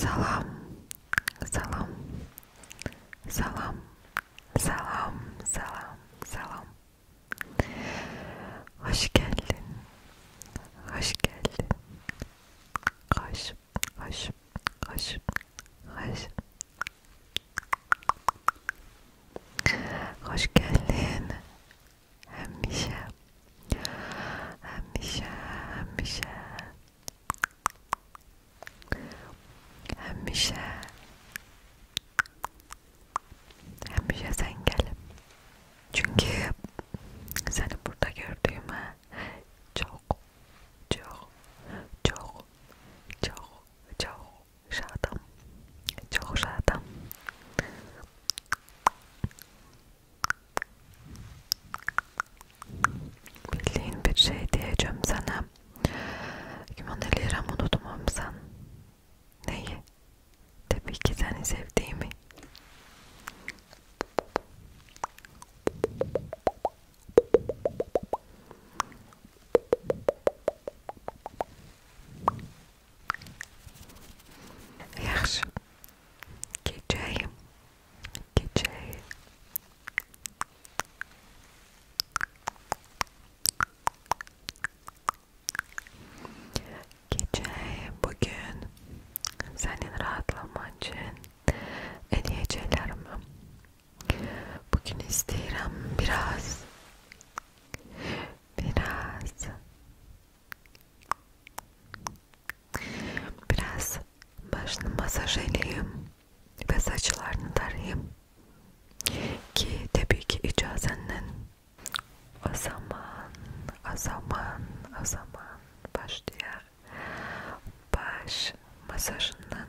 Salam, salam, salam, salam, salam, salam. Hoş geldin, hoş geldin. Hoş, hoş, hoş, hoş, Hoş geldin. Hemşe. Hemşe, hemşe. Hemşe. Hemşe sen gel. Çünkü seni burada gördüğüme çok çok çok çok çok Żadam. Cicho żadam. Bildiğin bir şey diyeceğim sana. Kimon liram unutmam sen. Neyi? Tabii ki seni sevdiğimi. Yaxşı. Gece. Gece. bugün senin rahatlaman için bugün isteyirim biraz Biraz Biraz başını masaj edeyim ve saçlarını tarayayım ki tabii ki icazenden o zaman o zaman o zaman başlayar baş masajından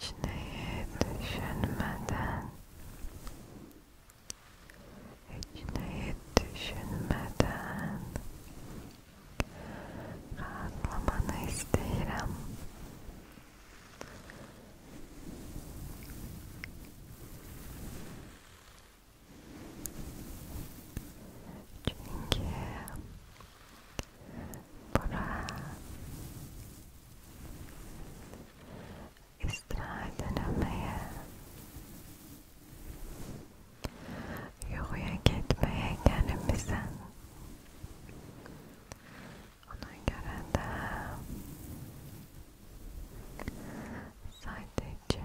hiç neyi düşünmeden hiç neyi düşünmeden rahatlamanı isterim. Çünkü İstirahatlanmaya, yokuya gitmeye kendimizden ona göre de sadece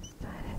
Get started at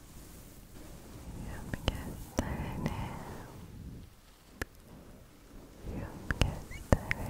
you get through now. you get through it.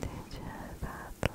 Sadece rahatlamadım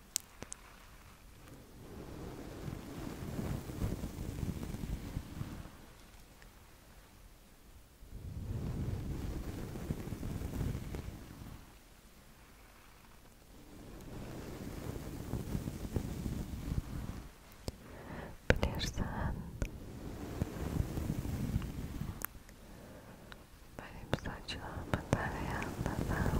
Bilirsən, benim saçlarımı tarayanlara